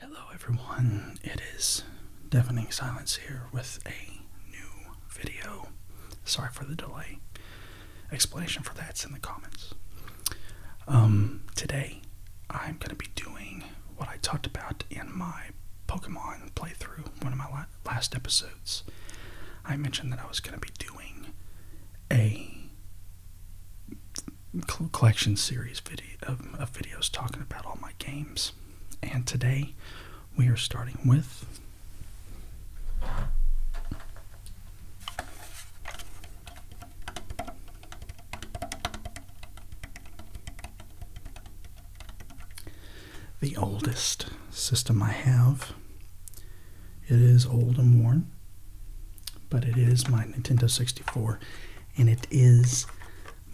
Hello, everyone. It is Deafening Silence here with a new video. Sorry for the delay. Explanation for that's in the comments. Um, today, I'm going to be doing what I talked about in my Pokemon playthrough, one of my last episodes. I mentioned that I was going to be doing a collection series video of, videos talking about all my games. And today we are starting with the oldest system I have. It is old and worn, but it is my Nintendo 64 and it is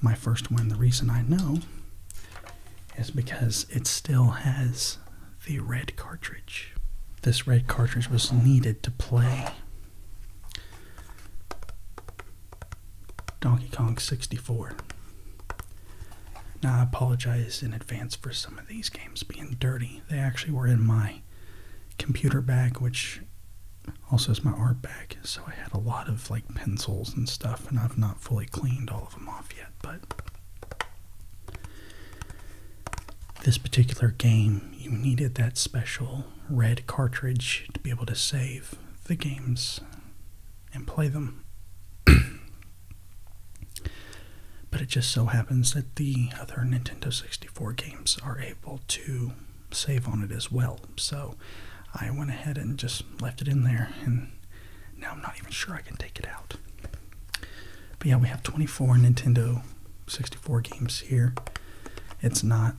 my first one. The reason I know is because it still has the red cartridge. This red cartridge was needed to play Donkey Kong 64. Now, I apologize in advance for some of these games being dirty. They actually were in my computer bag, which also, it's my art bag, so I had a lot of like pencils and stuff, and I've not fully cleaned all of them off yet. But this particular game, you needed that special red cartridge to be able to save the games and play them. but it just so happens that the other Nintendo 64 games are able to save on it as well. So I went ahead and just left it in there, and now I'm not even sure I can take it out. But yeah, we have 24 Nintendo 64 games here. It's not.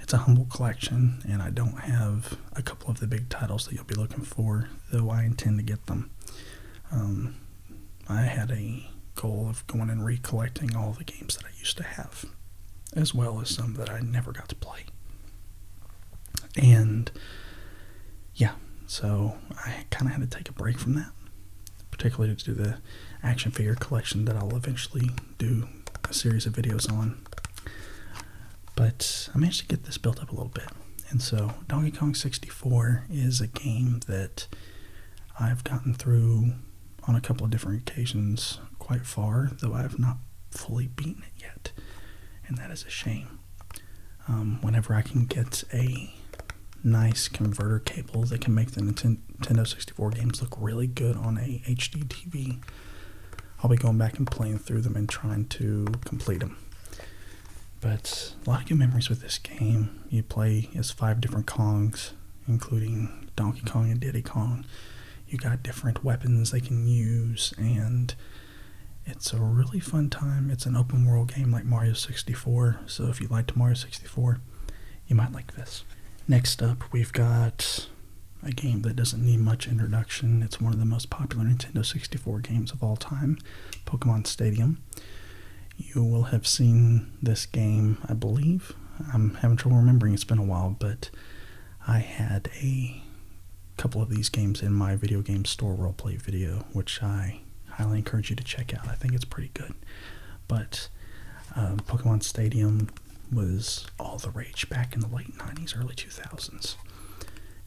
It's a humble collection, and I don't have a couple of the big titles that you'll be looking for, though I intend to get them. Um, I had a goal of going and recollecting all the games that I used to have as well as some that I never got to play. And yeah, so I kind of had to take a break from that, particularly to do the action figure collection that I'll eventually do a series of videos on. But I managed to get this built up a little bit. And so Donkey Kong 64 is a game that I've gotten through on a couple of different occasions quite far, though I have not fully beaten it yet, and that is a shame. Um, whenever I can get a nice converter cable that can make the Nintendo 64 games look really good on a HD TV, I'll be going back and playing through them and trying to complete them. But a lot of good memories with this game. You play as five different Kongs including Donkey Kong and Diddy Kong. You got different weapons they can use, and it's a really fun time. It's an open world game like Mario 64, so if you like Mario 64, you might like this. Next up, we've got a game that doesn't need much introduction. It's one of the most popular Nintendo 64 games of all time, Pokemon Stadium. You will have seen this game, I believe. I'm having trouble remembering, it's been a while, but I had a couple of these games in my video game store roleplay video, which I highly encourage you to check out. I think it's pretty good. But um, Pokemon Stadium was all the rage back in the late 90s, early 2000s.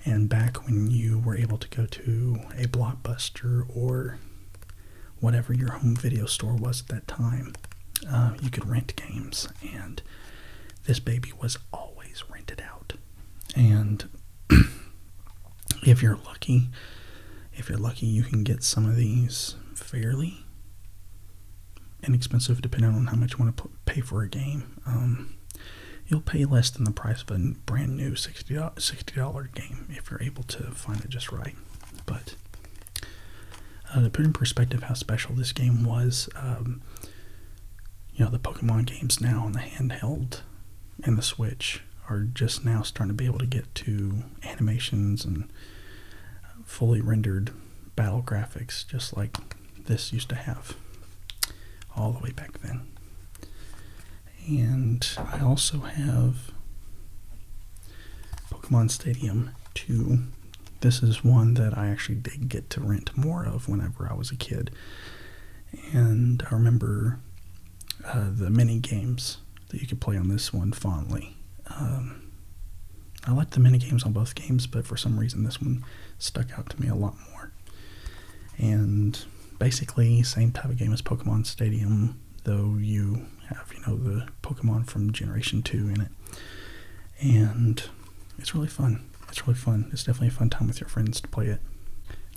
And back when you were able to go to a Blockbuster or whatever your home video store was at that time, uh, you could rent games and this baby was always rented out. And if you're lucky, if you're lucky, you can get some of these fairly inexpensive, depending on how much you want to pay for a game. Um, you'll pay less than the price of a brand new $60 game if you're able to find it just right. But uh, to put in perspective how special this game was, um, you know, the Pokemon games now on the handheld and the Switch are just now starting to be able to get to animations and fully rendered battle graphics, just like this used to have all the way back then. And I also have Pokemon Stadium 2 this is one that I actually did get to rent more of whenever I was a kid. And I remember uh, the mini games that you could play on this one fondly. Um, I liked the mini games on both games, but for some reason this one stuck out to me a lot more. And basically, same type of game as Pokemon Stadium, though you have you know the Pokemon from Generation Two in it, and it's really fun. It's really fun. It's definitely a fun time with your friends to play it.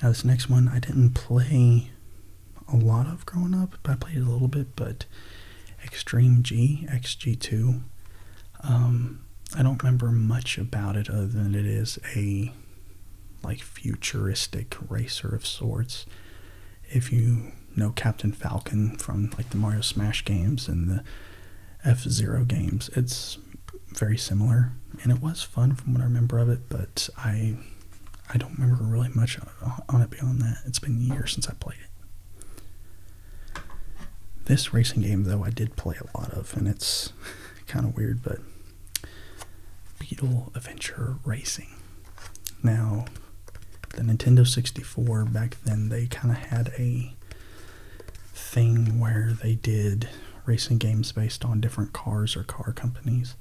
Now this next one I didn't play a lot of growing up, but I played a little bit, but Extreme G, XG2. Um, I don't remember much about it other than it is a like futuristic racer of sorts. If you no Captain Falcon from like the Mario Smash games and the F Zero games. It's very similar, and it was fun from what I remember of it. But I, I don't remember really much on it beyond that. It's been years since I played it. This racing game, though, I did play a lot of, and it's kind of weird, but Beetle Adventure Racing. Now, the Nintendo 64 back then, they kind of had a thing where they did racing games based on different cars or car companies.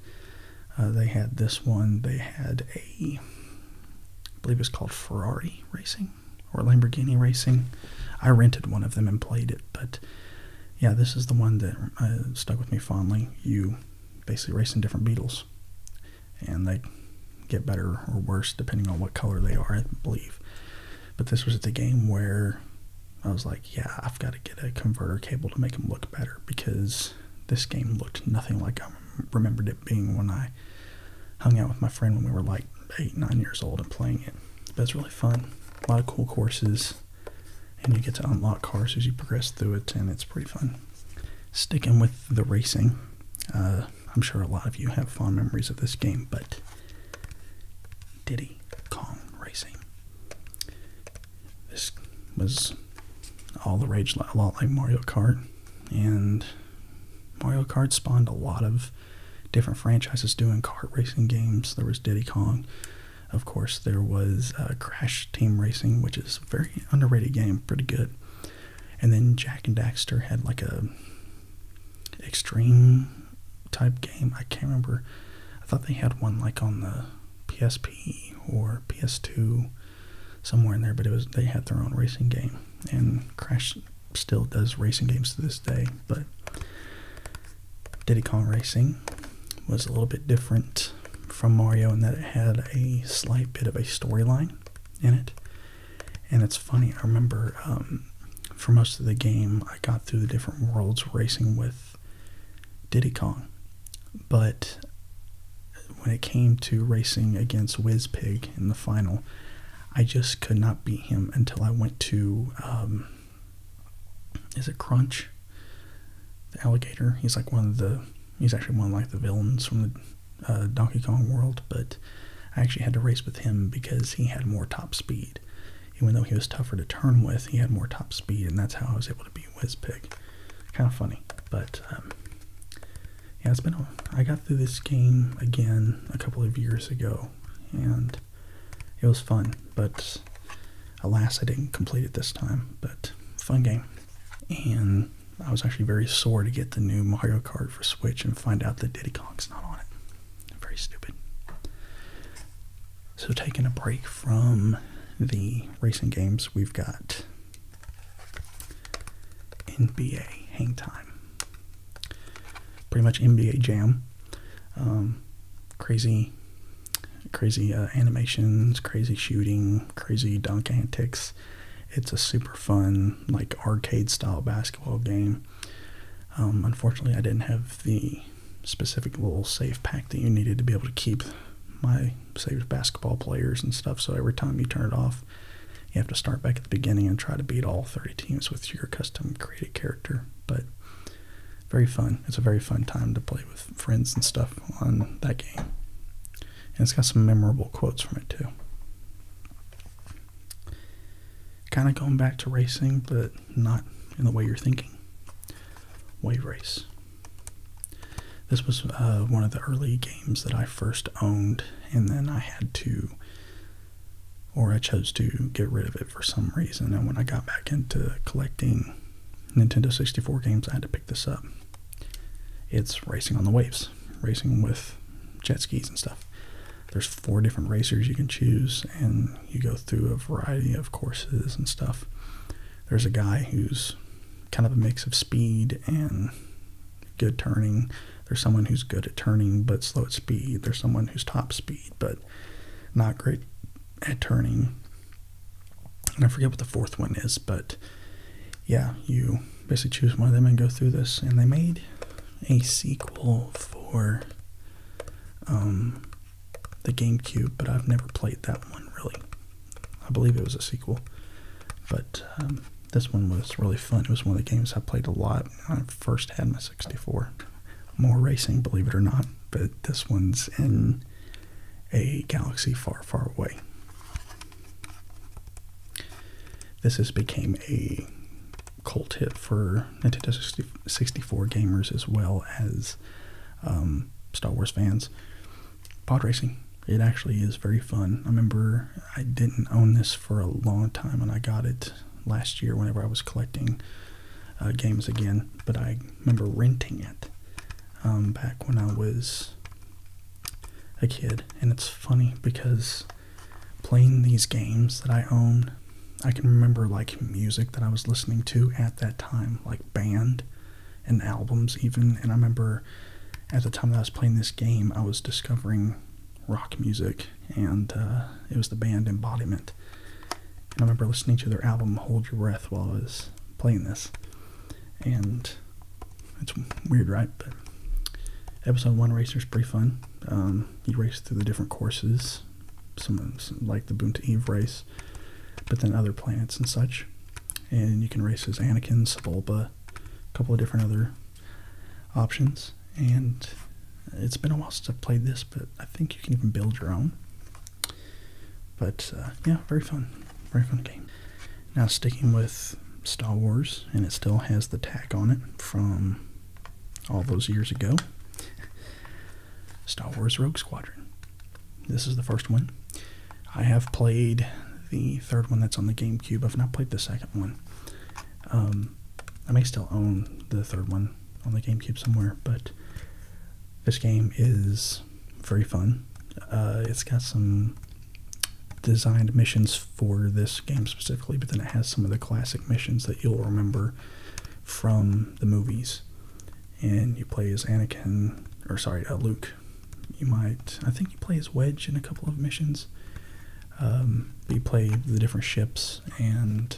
Uh, they had this one. They had a, I believe it's called Ferrari Racing or Lamborghini Racing. I rented one of them and played it, but yeah, this is the one that uh, stuck with me fondly. You basically racing different Beetles and they get better or worse depending on what color they are, I believe. But this was the game where I was like, yeah, I've got to get a converter cable to make them look better because this game looked nothing like I remembered it being when I hung out with my friend when we were like eight, nine years old and playing it. But it's really fun, a lot of cool courses, and you get to unlock cars as you progress through it, and it's pretty fun. Sticking with the racing, uh, I'm sure a lot of you have fond memories of this game, but Diddy Kong Racing. This was all the rage, a lot like Mario Kart, and Mario Kart spawned a lot of different franchises doing kart racing games. There was Diddy Kong. Of course, there was uh, Crash Team Racing, which is a very underrated game, pretty good. And then Jack and Daxter had like a extreme type game. I can't remember. I thought they had one like on the PSP or PS2 somewhere in there, but it was they had their own racing game. And Crash still does racing games to this day, but Diddy Kong Racing was a little bit different from Mario in that it had a slight bit of a storyline in it. And it's funny, I remember um, for most of the game, I got through the different worlds racing with Diddy Kong. But when it came to racing against Whizpig in the final, I just could not beat him until I went to, um, is it Crunch? The alligator. He's like one of the, he's actually one of like the villains from the uh, Donkey Kong World, but I actually had to race with him because he had more top speed. Even though he was tougher to turn with, he had more top speed, and that's how I was able to beat Whizpig. Kind of funny, but um, yeah, it's been. I got through this game again a couple of years ago, and it was fun. But alas, I didn't complete it this time. But fun game, and I was actually very sore to get the new Mario Kart for Switch and find out that Diddy Kong's not on it. Very stupid. So, taking a break from the racing games, we've got NBA Hang Time. Pretty much NBA Jam. Um, crazy, crazy uh, animations, crazy shooting, crazy dunk antics. It's a super fun, like arcade style basketball game um, unfortunately, I didn't have the specific little safe pack that you needed to be able to keep my saved basketball players and stuff. So every time you turn it off, you have to start back at the beginning and try to beat all 30 teams with your custom created character. But very fun. It's a very fun time to play with friends and stuff on that game. And it's got some memorable quotes from it too kind of going back to racing, but not in the way you're thinking. Wave Race. This was uh, one of the early games that I first owned, and then I had to, or I chose to get rid of it for some reason. And when I got back into collecting Nintendo 64 games, I had to pick this up. It's Racing on the Waves racing with jet skis and stuff. There's four different racers you can choose, and you go through a variety of courses and stuff. There's a guy who's kind of a mix of speed and good turning. There's someone who's good at turning but slow at speed. There's someone who's top speed but not great at turning. And I forget what the fourth one is, but yeah, you basically choose one of them and go through this. And they made a sequel for um, the GameCube, but I've never played that one really. I believe it was a sequel, but um, this one was really fun. It was one of the games I played a lot when I first had my 64. More racing, believe it or not, but this one's in a galaxy far, far away. This has became a cult hit for Nintendo 64 gamers as well as um, Star Wars fans. Pod racing. It actually is very fun. I remember I didn't own this for a long time and I got it last year whenever I was collecting uh, games again, but I remember renting it um, back when I was a kid. And it's funny because playing these games that I owned. I can remember like music that I was listening to at that time, like band and albums even. And I remember at the time that I was playing this game, I was discovering rock music, and uh, it was the band Embodiment. And I remember listening to their album Hold Your Breath while I was playing this. And it's weird, right? But episode one Racer is pretty fun. Um, you race through the different courses, some, some like the Boon Eve race, but then other planets and such. And you can race as Anakin, Sebulba, a couple of different other options. And it's been a while since I've played this, but I think you can even build your own. But uh, yeah, very fun. Very fun game. Now, sticking with Star Wars, and it still has the tag on it from all those years ago. Star Wars Rogue Squadron. This is the first one. I have played the third one that's on the GameCube. I've not played the second one. Um, I may still own the third one on the GameCube somewhere, but this game is very fun. Uh, it's got some designed missions for this game specifically, but then it has some of the classic missions that you'll remember from the movies. And you play as Anakin, or sorry, uh, Luke. You might, I think you play as Wedge in a couple of missions. Um, you play the different ships, and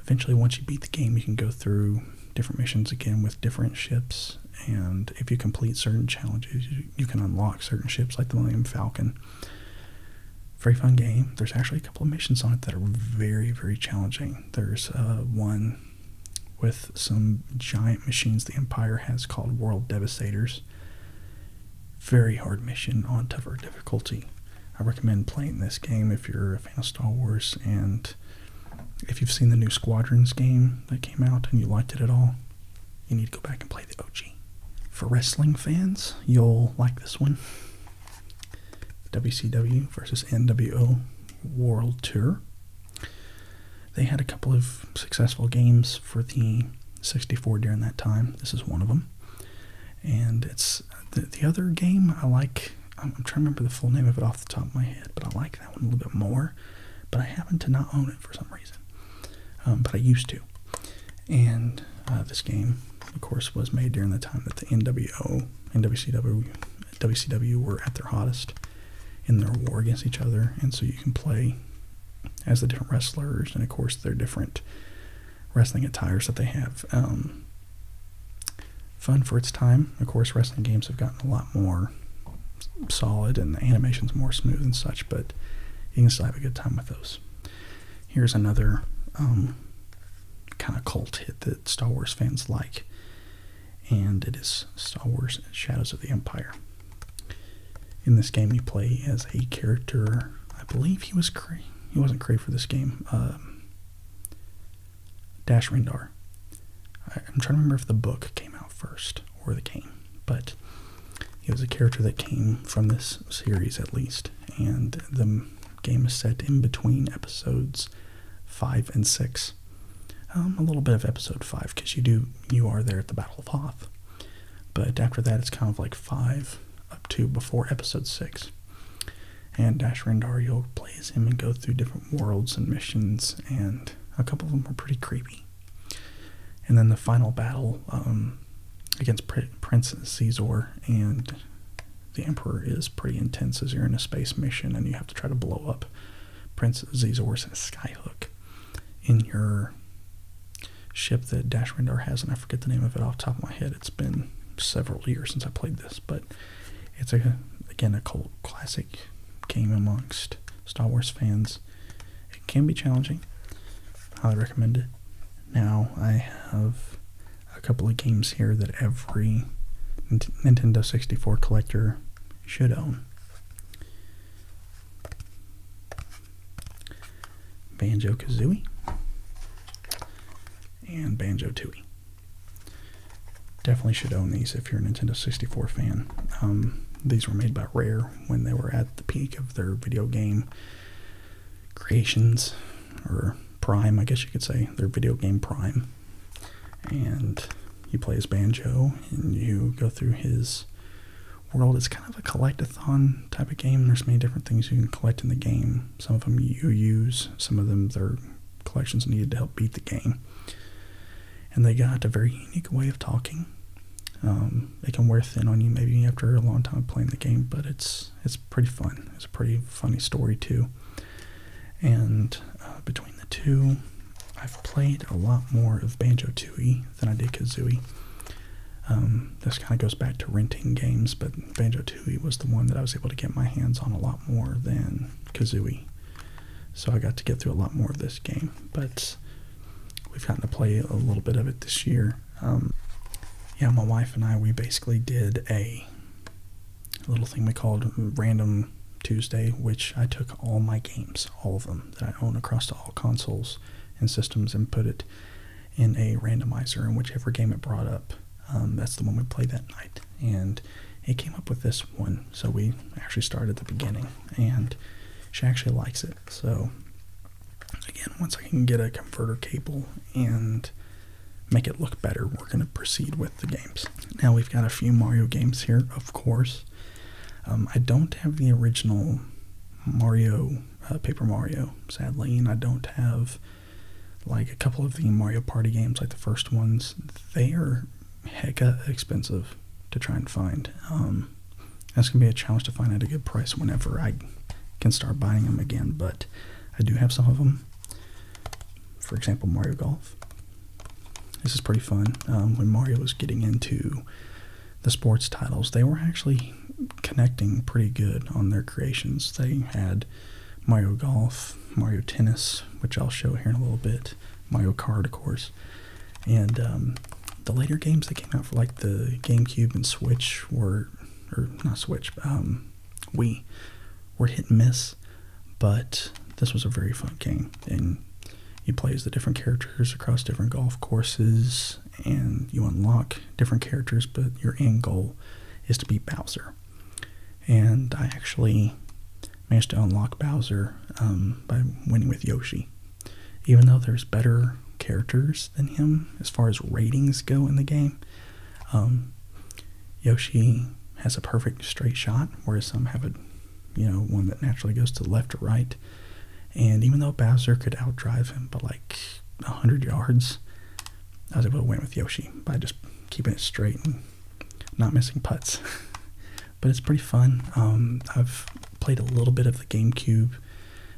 eventually, once you beat the game, you can go through different missions again with different ships. And if you complete certain challenges, you, you can unlock certain ships like the Millennium Falcon very fun game. There's actually a couple of missions on it that are very, very challenging. There's uh, one with some giant machines the Empire has called World Devastators. Very hard mission on tougher difficulty. I recommend playing this game if you're a fan of Star Wars and if you've seen the new Squadrons game that came out and you liked it at all, you need to go back and play the OG. For wrestling fans, you'll like this one. WCW versus NWO World Tour. They had a couple of successful games for the 64 during that time. This is one of them. And it's the, other game I like. I'm, trying to remember the full name of it off the top of my head, but I like that one a little bit more. But I happen to not own it for some reason. Um, but I used to. And uh, this game of course, was made during the time that the NWO and WCW, WCW were at their hottest in their war against each other. And so you can play as the different wrestlers and, of course, their different wrestling attires that they have. Um, fun for its time. Of course, wrestling games have gotten a lot more solid and the animation's more smooth and such, but you can still have a good time with those. Here's another um, kind of cult hit that Star Wars fans like, and it is Star Wars Shadows of the Empire. In this game, you play as a character. I believe he was He wasn't Cray for this game. Um, Dash Rendar. I'm trying to remember if the book came out first or the game, but he was a character that came from this series at least, and the game is set in between episodes five and six. Um, a little bit of episode five because you do you are there at the Battle of Hoth, but after that it's kind of like five up to before episode six. And Dash Rendar you Rendario plays him and go through different worlds and missions, and a couple of them are pretty creepy. And then the final battle um, against Prince Caesar and the Emperor is pretty intense as you're in a space mission and you have to try to blow up Prince Caesar's skyhook in your ship that Dash Rendar has, and I forget the name of it off the top of my head. It's been several years since I played this, but it's a again a cult classic game amongst Star Wars fans. It can be challenging. Highly recommend it. Now I have a couple of games here that every Nintendo 64 collector should own. Banjo Kazooie and Banjo Tooie. Definitely should own these if you're a Nintendo 64 fan. Um, these were made by Rare when they were at the peak of their video game creations or Prime, I guess you could say, their video game Prime. And he plays Banjo and you go through his world. It's kind of a collectathon type of game. There's many different things you can collect in the game. Some of them you use, some of them their collections needed to help beat the game. And they got a very unique way of talking. Um, they can wear thin on you maybe after a long time playing the game, but it's it's pretty fun. It's a pretty funny story too. And uh, between the two, I've played a lot more of Banjo Tooie than I did Kazooie. Um, this kind of goes back to renting games, but Banjo Tooie was the one that I was able to get my hands on a lot more than Kazooie. So I got to get through a lot more of this game, but we've gotten to play a little bit of it this year. Um, yeah, my wife and I, we basically did a little thing we called Random Tuesday, which I took all my games, all of them that I own across all consoles and systems, and put it in a randomizer. And whichever game it brought up, um, that's the one we played that night. And it came up with this one, so we actually started at the beginning, and she actually likes it. So, again, once I can get a converter cable and make it look better, we're going to proceed with the games. Now, we've got a few Mario games here, of course. Um, I don't have the original Mario, uh, Paper Mario, sadly, and I don't have like a couple of the Mario Party games, like the first ones. They are heca expensive to try and find. Um, that's going to be a challenge to find at a good price whenever I can start buying them again, but I do have some of them for example, Mario Golf. This is pretty fun. Um, when Mario was getting into the sports titles, they were actually connecting pretty good on their creations. They had Mario Golf, Mario Tennis, which I'll show here in a little bit, Mario Kart, of course, and um, the later games that came out for like the GameCube and Switch were, or not Switch, um, we were hit and miss, but this was a very fun game. And you play as the different characters across different golf courses, and you unlock different characters, but your end goal is to beat Bowser. And I actually managed to unlock Bowser um, by winning with Yoshi. Even though there's better characters than him as far as ratings go in the game, um, Yoshi has a perfect straight shot, whereas some have a, you know, one that naturally goes to the left or right. And even though Bowser could outdrive him by like 100 yards, I was able to win with Yoshi by just keeping it straight and not missing putts. but it's pretty fun. Um, I've played a little bit of the GameCube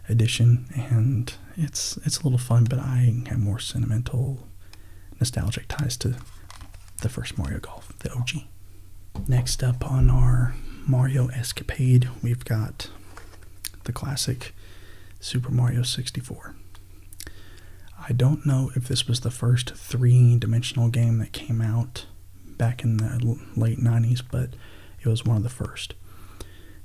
edition, and it's it's a little fun, but I have more sentimental, nostalgic ties to the first Mario Golf, the OG. Next up on our Mario escapade, we've got the classic Super Mario 64. I don't know if this was the first three dimensional game that came out back in the late 90s, but it was one of the first.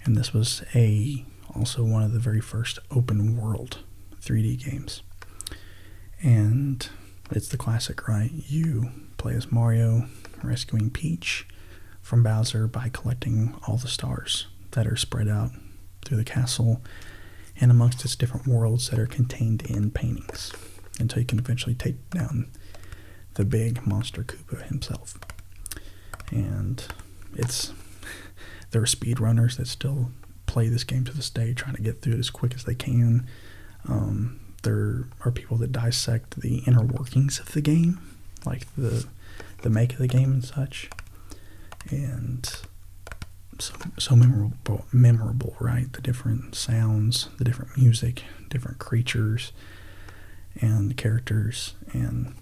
And this was a also one of the very first open world 3D games. And it's the classic, right? You play as Mario rescuing Peach from Bowser by collecting all the stars that are spread out through the castle and amongst its different worlds that are contained in paintings until you can eventually take down the big monster Koopa himself and it's there are speedrunners that still play this game to this day, trying to get through it as quick as they can. Um, there are people that dissect the inner workings of the game, like the the make of the game and such, and so so memorable, memorable, right? The different sounds, the different music, different creatures, and characters, and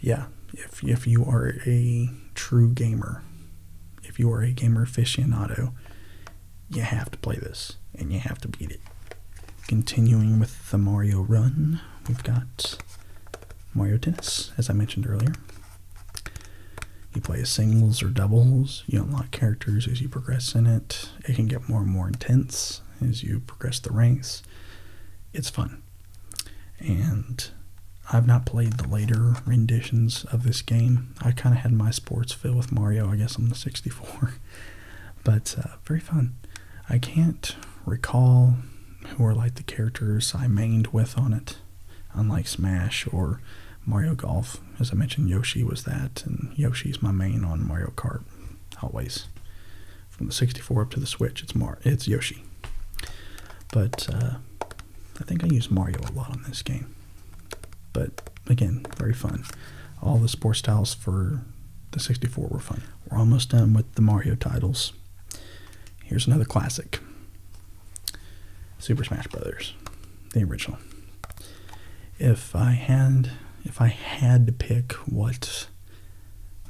yeah, if if you are a true gamer, if you are a gamer aficionado, you have to play this and you have to beat it. Continuing with the Mario run, we've got Mario Tennis, as I mentioned earlier. You play singles or doubles, you unlock characters as you progress in it. It can get more and more intense as you progress the ranks. It's fun and I've not played the later renditions of this game. I kind of had my sports fill with Mario, I guess, on the 64. but uh, very fun. I can't recall who are like the characters I mained with on it, unlike Smash or Mario Golf. As I mentioned, Yoshi was that, and Yoshi's my main on Mario Kart, always. From the 64 up to the Switch, it's Mario it's Yoshi. But uh, I think I use Mario a lot on this game. But again, very fun. All the sports titles for the 64 were fun. We're almost done with the Mario titles. Here's another classic. Super Smash Brothers, the original. If I had if I had to pick what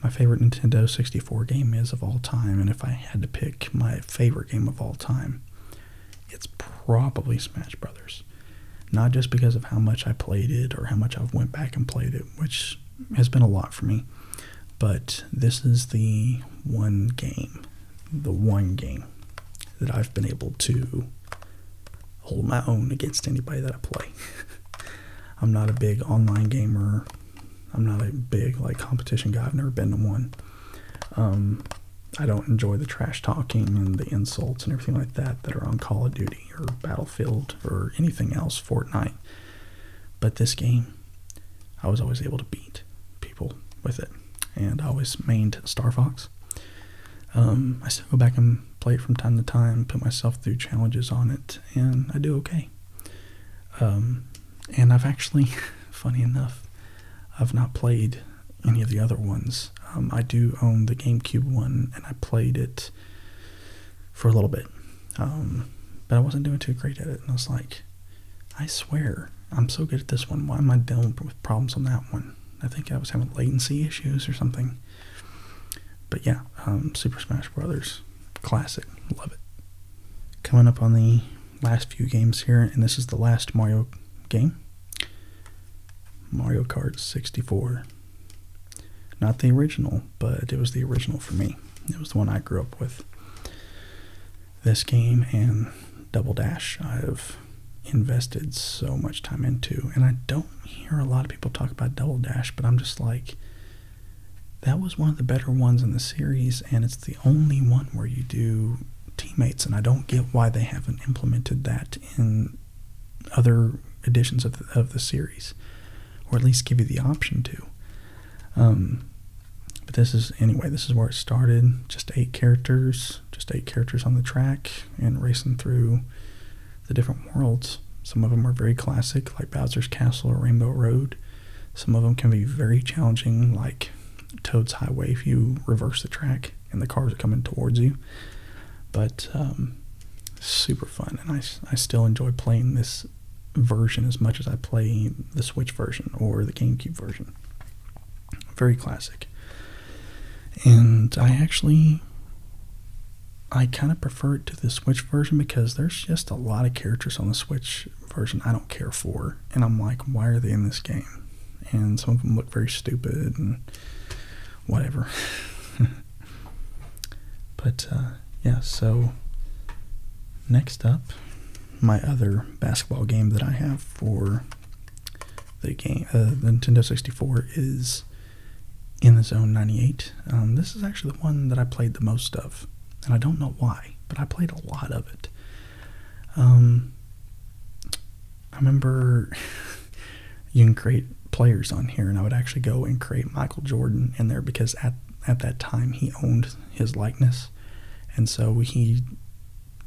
my favorite Nintendo 64 game is of all time, and if I had to pick my favorite game of all time, it's probably Smash Brothers. Not just because of how much I played it or how much I've went back and played it, which has been a lot for me, but this is the one game, the one game that I've been able to hold my own against anybody that I play. I'm not a big online gamer. I'm not a big like competition guy. I've never been to one. Um, I don't enjoy the trash talking and the insults and everything like that that are on Call of Duty or Battlefield or anything else, Fortnite. But this game, I was always able to beat people with it, and I always mained Star Fox. Um, I still go back and play it from time to time, put myself through challenges on it, and I do okay. Um, and I've actually, funny enough, I've not played any of the other ones. Um, I do own the GameCube one, and I played it for a little bit, um, but I wasn't doing too great at it, and I was like, I swear, I'm so good at this one. Why am I dealing with problems on that one? I think I was having latency issues or something. But yeah, um, Super Smash Brothers, classic, love it. Coming up on the last few games here, and this is the last Mario game. Mario Kart 64. Not the original, but it was the original for me. It was the one I grew up with. This game and Double Dash I've invested so much time into, and I don't hear a lot of people talk about Double Dash, but I'm just like, that was one of the better ones in the series, and it's the only one where you do teammates, and I don't get why they haven't implemented that in other editions of the, of the series, or at least give you the option to. Um, but this is, anyway, this is where it started. Just eight characters, just eight characters on the track, and racing through the different worlds. Some of them are very classic, like Bowser's Castle or Rainbow Road. Some of them can be very challenging, like Toad's Highway if you reverse the track and the cars are coming towards you. But um, super fun, and I, I still enjoy playing this version as much as I play the Switch version or the GameCube version. Very classic. And I actually I kind of prefer it to the Switch version because there's just a lot of characters on the Switch version I don't care for, and I'm like, why are they in this game? And some of them look very stupid and whatever. but uh, yeah, so next up, my other basketball game that I have for the game, uh, Nintendo 64 is in the Zone 98. Um, this is actually the one that I played the most of and I don't know why, but I played a lot of it. Um, I remember you can create players on here, and I would actually go and create Michael Jordan in there because at at that time he owned his likeness, and so he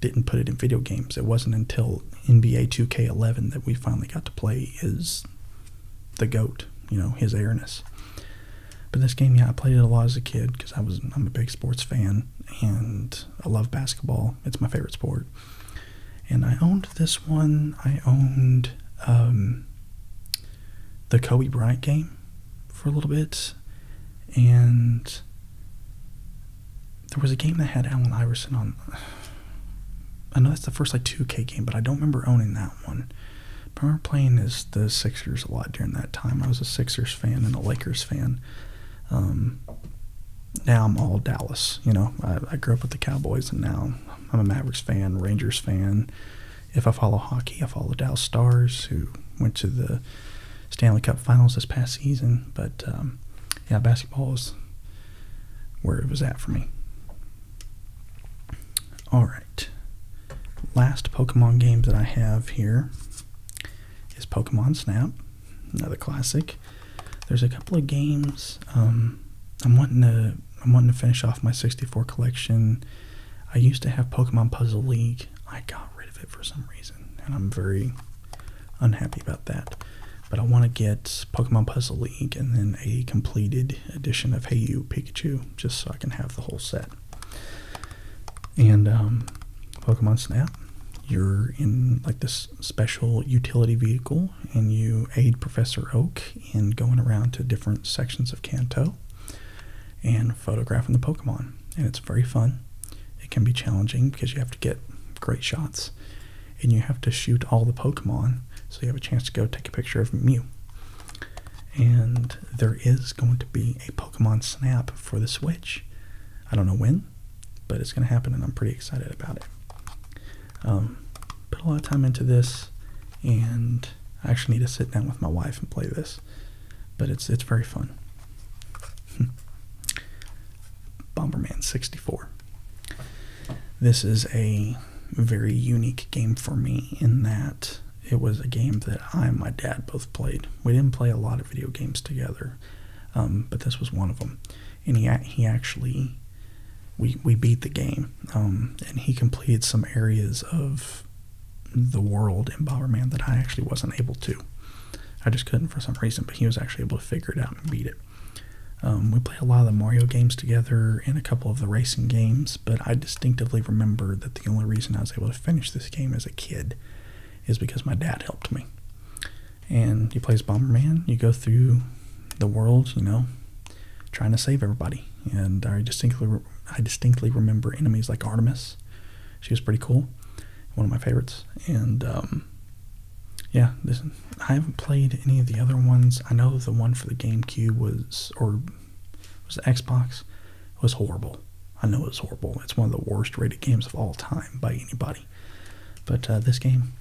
didn't put it in video games. It wasn't until NBA 2K11 that we finally got to play his the goat, you know, his airness. But this game, yeah, I played it a lot as a kid because I was I'm a big sports fan and I love basketball. It's my favorite sport. And I owned this one. I owned um, the Kobe Bryant game for a little bit, and there was a game that had Allen Iverson on. I know that's the first like 2K game, but I don't remember owning that one. I remember playing as the Sixers a lot during that time. I was a Sixers fan and a Lakers fan. Um, now I'm all Dallas. You know, I, grew up with the Cowboys, and now I'm a Mavericks fan, Rangers fan. If I follow hockey, I follow Dallas Stars, who went to the Stanley Cup Finals this past season. But um, yeah, basketball is where it was at for me. All right, last Pokemon game that I have here is Pokemon Snap, another classic. There's a couple of games. Um, I'm wanting to I'm wanting to finish off my 64 collection. I used to have Pokemon Puzzle League. I got rid of it for some reason, and I'm very unhappy about that. But I want to get Pokemon Puzzle League and then a completed edition of Hey You Pikachu, just so I can have the whole set. And um, Pokemon Snap, you're in like this special utility vehicle, and you aid Professor Oak in going around to different sections of Kanto and photographing the Pokemon. And it's very fun. It can be challenging because you have to get great shots, and you have to shoot all the Pokemon, so you have a chance to go take a picture of Mew. And there is going to be a Pokemon Snap for the Switch. I don't know when, but it's going to happen, and I'm pretty excited about it. Um, put a lot of time into this, and I actually need to sit down with my wife and play this, but it's it's very fun. Bomberman 64. This is a very unique game for me in that it was a game that I and my dad both played. We didn't play a lot of video games together, um, but this was one of them. And he he actually we we beat the game, um, and he completed some areas of the world in Bomberman that I actually wasn't able to. I just couldn't for some reason, but he was actually able to figure it out and beat it. Um, we played a lot of the Mario games together and a couple of the racing games, but I distinctively remember that the only reason I was able to finish this game as a kid is because my dad helped me. And he plays Bomberman. You go through the world, you know, trying to save everybody. And I distinctly, I distinctly remember enemies like Artemis. She was pretty cool, one of my favorites. And um, yeah, I haven't played any of the other ones. I know the one for the GameCube was, or was the Xbox. It was horrible. I know it was horrible. It's one of the worst rated games of all time by anybody. But uh, this game,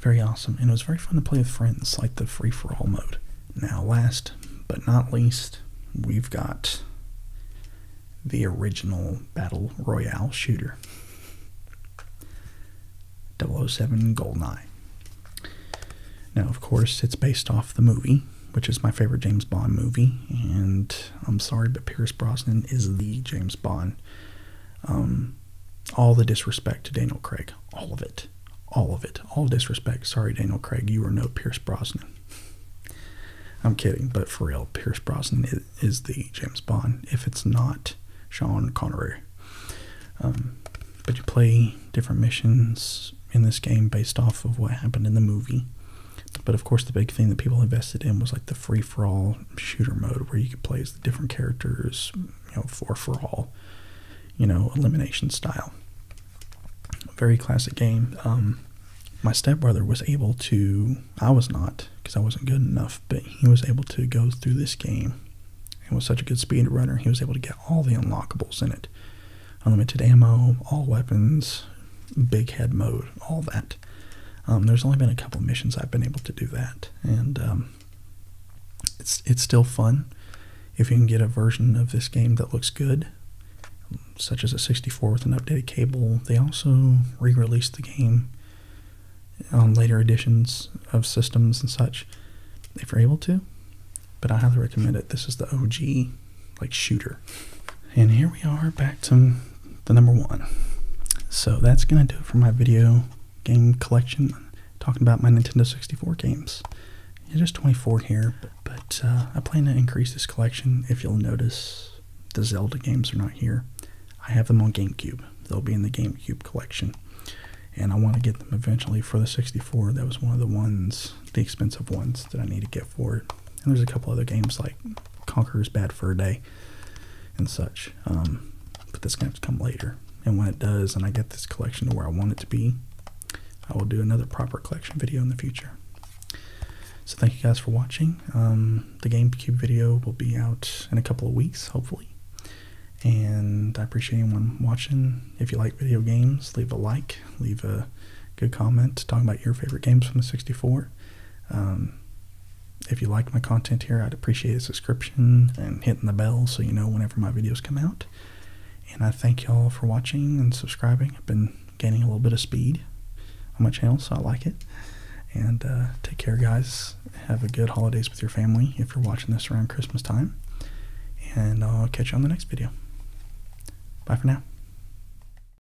very awesome. And it was very fun to play with friends, like the free for all mode. Now, last but not least, we've got the original Battle Royale shooter 007 Nine. Now, of course, it's based off the movie which is my favorite James Bond movie, and I'm sorry, but Pierce Brosnan is the James Bond. Um, all the disrespect to Daniel Craig, all of it, all of it, all disrespect. Sorry, Daniel Craig, you are no Pierce Brosnan. I'm kidding, but for real, Pierce Brosnan is, the James Bond. If it's not Sean Connery, um, but you play different missions in this game based off of what happened in the movie. But of course, the big thing that people invested in was like the free for all shooter mode where you could play as the different characters, you know, four for all, you know, elimination style. Very classic game. Um, my stepbrother was able to, I was not because I wasn't good enough, but he was able to go through this game and was such a good speed runner, he was able to get all the unlockables in it unlimited ammo, all weapons, big head mode, all that. Um, there's only been a couple missions I've been able to do that, and um, it's it's still fun. If you can get a version of this game that looks good, such as a 64 with an updated cable, they also re-released the game on later editions of systems and such, if you're able to. But I highly recommend it. This is the OG like shooter. And here we are back to the number one. So that's gonna do it for my video game collection, talking about my Nintendo 64 games. there's 24 here, but, uh, I plan to increase this collection. If you'll notice, the Zelda games are not here. I have them on GameCube. They'll be in the GameCube collection. And I want to get them eventually for the 64. That was one of the ones, the expensive ones, that I need to get for it. And there's a couple other games like Conquer is bad for a day and such. Um, but that's going to come later. And when it does, and I get this collection to where I want it to be, I will do another proper collection video in the future. So thank you guys for watching. Um, the GameCube video will be out in a couple of weeks, hopefully. And I appreciate anyone watching. If you like video games, leave a like, leave a good comment, talk about your favorite games from the 64. Um, if you like my content here, I'd appreciate a subscription and hitting the bell so you know whenever my videos come out. And I thank y'all for watching and subscribing. I've been gaining a little bit of speed on my channel, so I like it. And uh, take care, guys. Have a good holidays with your family if you're watching this around Christmas time. And I'll catch you on the next video. Bye for now.